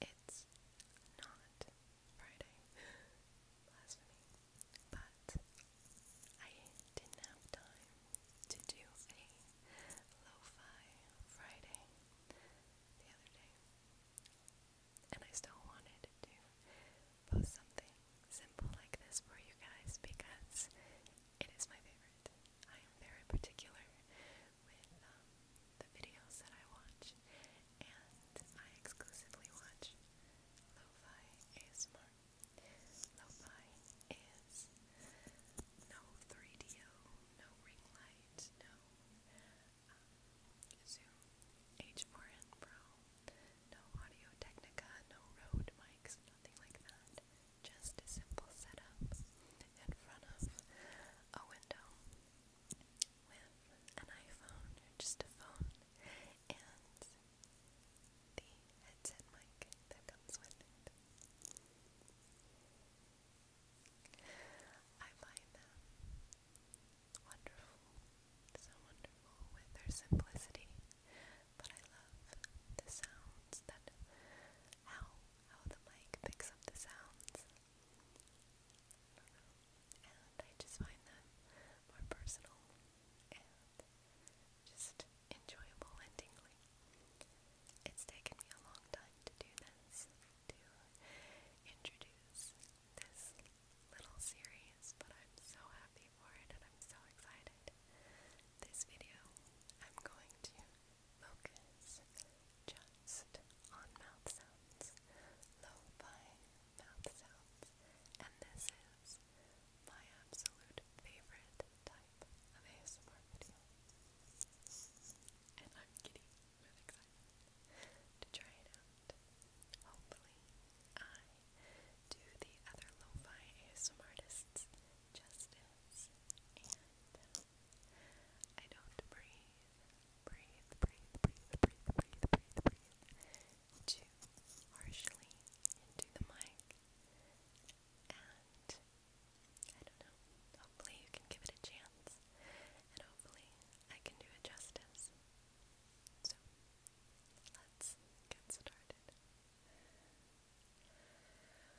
It's not Friday. Blasphemy. But I didn't have time to do a lo Friday the other day. And I still wanted to post something simple like this for you guys because it is my favorite. I am very particular with um, the videos that I watch, and I exclusively watch lo-fi ASMR. Lo-fi is no 3DO, no ring light, no um, Zoom H4n Pro, no Audio Technica, no Rode mics, nothing like that. Just a simple setup in front of a window with an iPhone or just a phone and the headset mic that comes with it. I find them wonderful, so wonderful with their simplicity, but I love the sounds that how how the mic picks up the sounds and I just find them more personal and just enjoyable and It's taken me a long time to do this, to introduce this little series, but I'm so happy for it and I'm so excited. This video, I'm going to focus just on mouth sounds, lo-fi mouth sounds, and this is my absolute favorite type of ASMR video. And I'm getting really excited to try it out. Hopefully, I do the other lo-fi ASMR artists justice, and I don't breathe Breathe, breathe, breathe, breathe, breathe, breathe, breathe. Too harshly into the mic. And I don't know. Hopefully you can give it a chance. And hopefully I can do it justice. So let's get started. Relax, really, relax.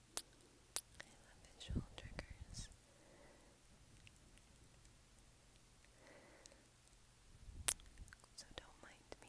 I love visual triggers. So don't mind me.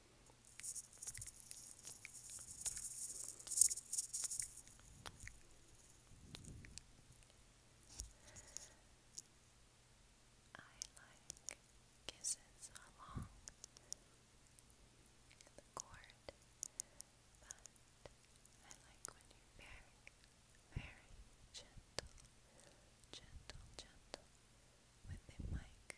I like kisses along the cord, but I like when you're very, very gentle, gentle, gentle with the mic.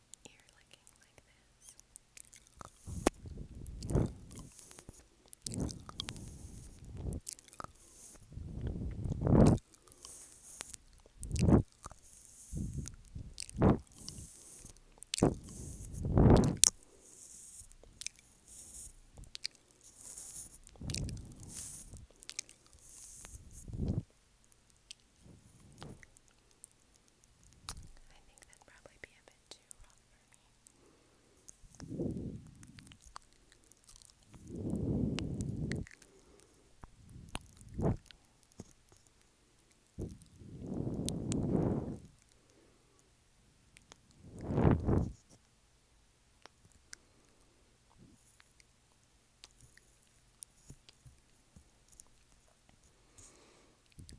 ear licking like this. I think that'd probably be a bit too rough for me. Peter,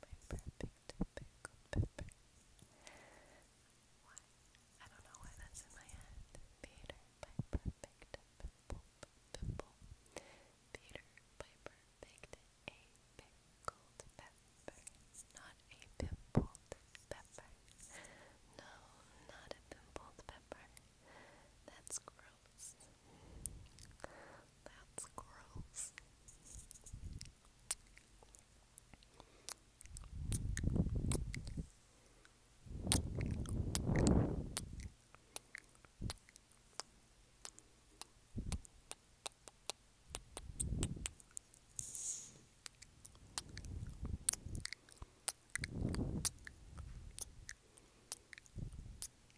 my perfect pickled pepper. Why? I don't know why that's in my head. Peter, my perfect pimple, pimple. Peter, my perfect a pickled pepper. Not a pimpled pepper. No, not a pimpled pepper. That's gross gross. That's gross. That's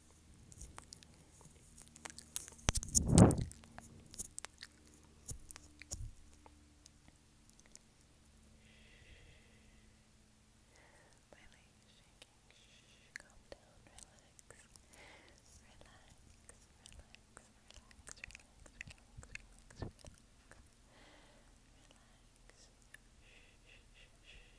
My legs shaking. Shh, calm down, relax. Relax, relax, relax, relax, relax, relax, relax. Relax. Shh, shh, shh.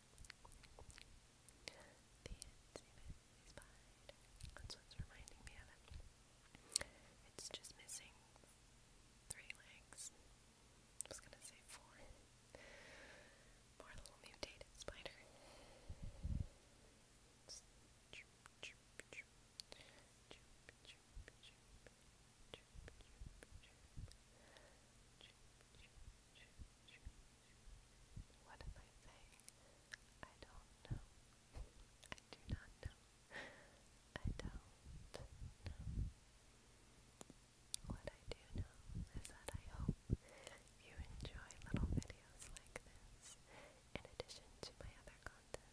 The Insimitty It's just missing three legs. was gonna say four. Poor little mutated spider. What am I saying? I don't know. I do not know. I don't know. What I do know is that I hope you enjoy little videos like this in addition to my other content.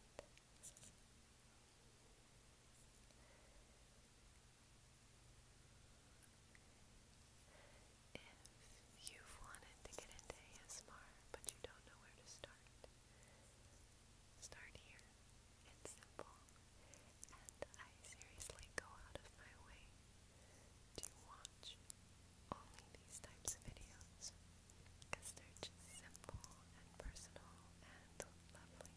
If you've wanted to get into ASMR but you don't know where to start, start here. It's simple. And I seriously go out of my way to watch only these types of videos because they're just simple and personal and lovely.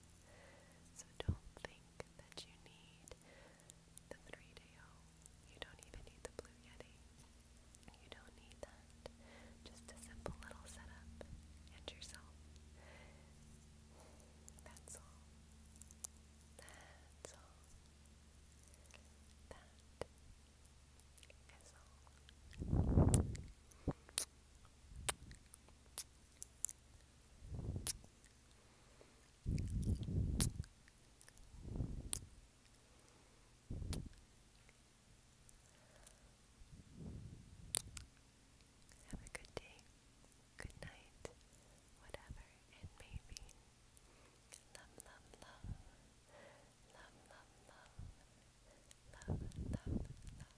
So don't think think that you need the 3DO. You don't even need the Blue Yeti. You don't need that. Just a simple little setup and yourself. That's all. That's all. That is all. Have a good day, good night, whatever it may love, love, love, love, love, love.